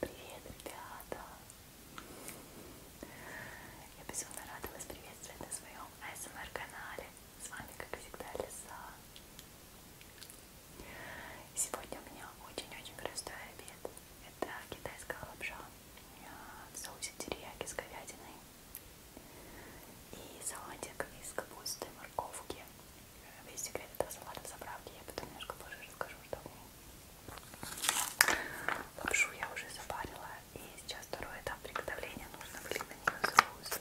Привет, ребята! Я безумно рада вас приветствовать на своем АСМР-канале. С вами, как всегда, Лиса. Сегодня у меня очень-очень простой обед. Это китайская лапша а, в соусе терияки с говядиной и салатик из капусты, морковки весь секрет этого салата в заправке. Я потом немножко позже расскажу, что в ней. Лапшу я уже запарила. И сейчас второй этап приготовления. Нужно влить на нее соус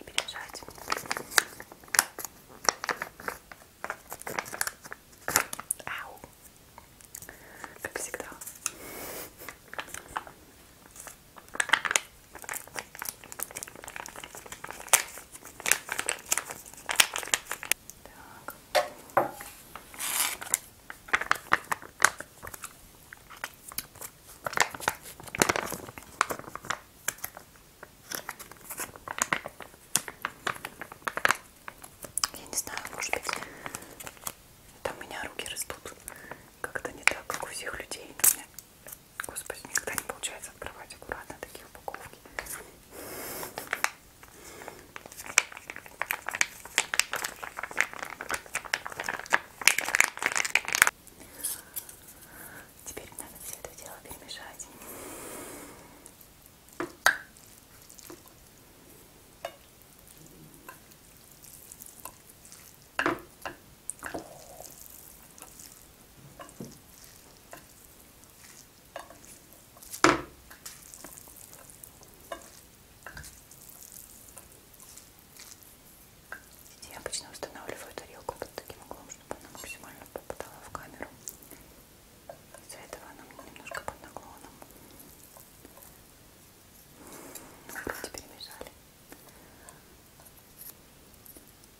и пережать. Ау! Как всегда. Так. Я не знаю, может быть, там у меня руки растут как-то не так, как у всех людей. Господи, никогда не получается открывать аккуратно такие упаковки. Теперь надо все это дело перемешать. Я обычно устанавливаю тарелку под таким углом, чтобы она максимально попадала в камеру. Из-за этого она мне немножко под наклоном. Ну, вроде перемешали.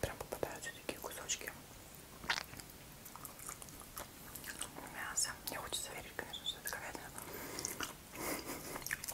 Прям попадаются такие кусочки мяса. Мне хочется верить, конечно, что это говядина.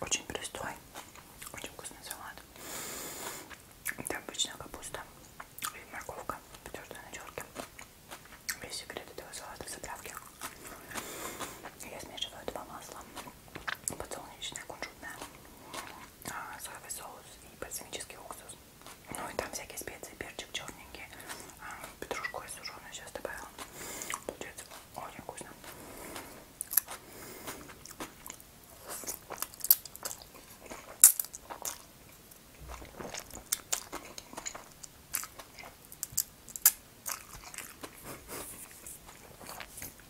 Очень простой, очень вкусный салат. Это обычная капуста и морковка, подтверждая на черке. Весь секрет этого салата в заправке. Я смешиваю два масла, подсолнечное, кунжутное а, соевый соус и бальзамический уксус. Ну и там всякие специи, перчик черненький, а, петрушку и сушеную сейчас добавила. Получается очень вкусно.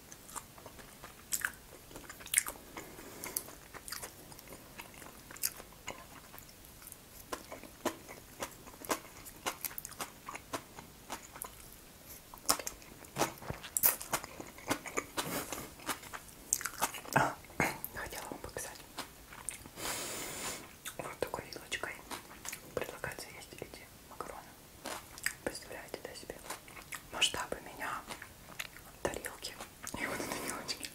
Хотела вам показать. Вот такой вилочкой предлагается есть эти макароны. Представляете, да, себе масштабы меня, тарелки и вот эти мелочки.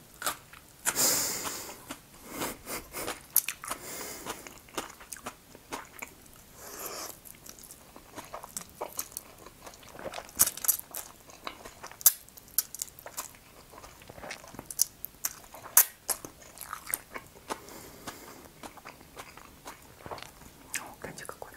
О, гляньте, какой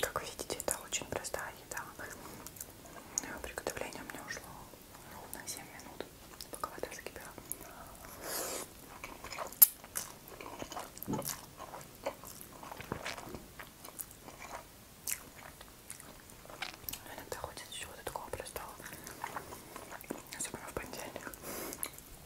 Как видите, это очень простая еда. Приготовление у меня ушло ровно 7 минут, пока вода закипела. Иногда хочется чего-то такого простого, особенно в понедельник.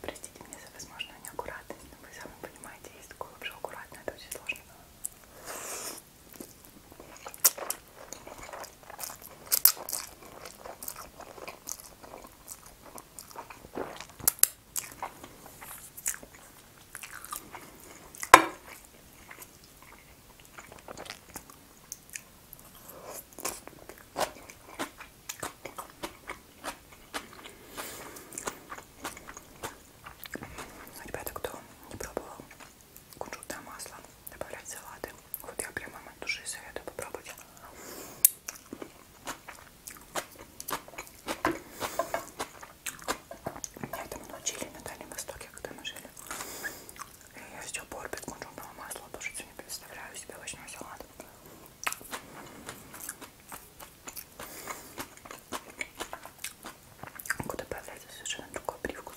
Простите меня за возможную неаккуратность, но вы сами понимаете, есть такое вообще аккуратно, это очень сложно Ребята, кто не пробовал кунжутное масло добавлять в салаты, вот я прямо от души советую попробовать. Меня этому научили на Дальнем Востоке, когда мы жили. И я все порпит кунжутного масла, тоже не представляю себе овощной салат. Куда появляется совершенно другой привкус.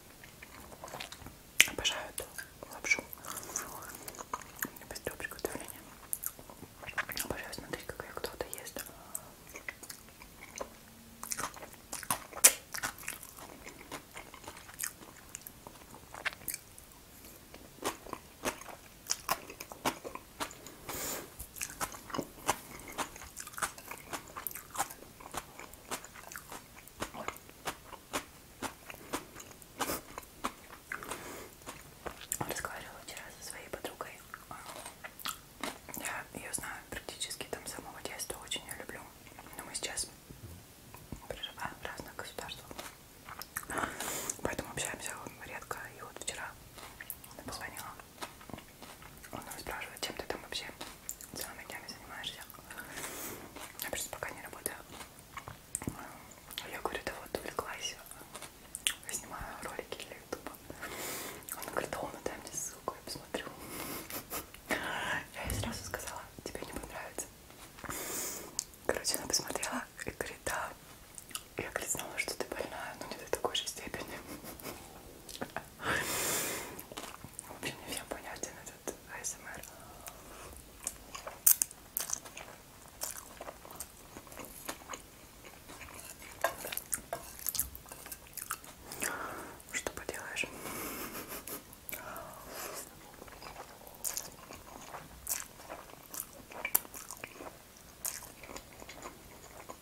Обожаю эту лапшу. Быстрое приготовление. Обожаю смотреть, как ее кто-то ест. Разговаривала вчера со своей подругой. Я ее знаю практически там с самого детства, очень ее люблю. Но мы сейчас проживаем в разных государствах. Поэтому общаемся редко. И вот вчера она позвонила он нас спрашивает, чем ты там вообще целыми днями занимаешься. Я просто пока не работаю. Я говорю, да вот увлеклась. Я снимаю ролики для ютуба. Он говорит, да он, дай мне ссылку, я посмотрю. Я ей сразу сказала, тебе не понравится. Короче, она посмотрела и говорит, да. Я, говорит, знала, что ты больная, но не до такой же степени. В общем, не всем понятен этот АСМР. Что поделаешь?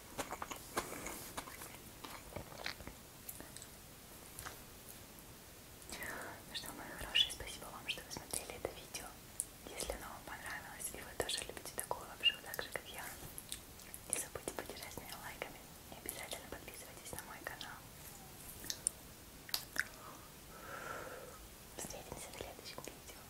Ну что, мои хорошие, спасибо вам, что вы смотрели это видео. Если оно вам понравилось и вы тоже любите такую лапшу так же, как я, не забудьте поддержать меня лайками и обязательно подписывайтесь на мой канал. Встретимся в следующем видео.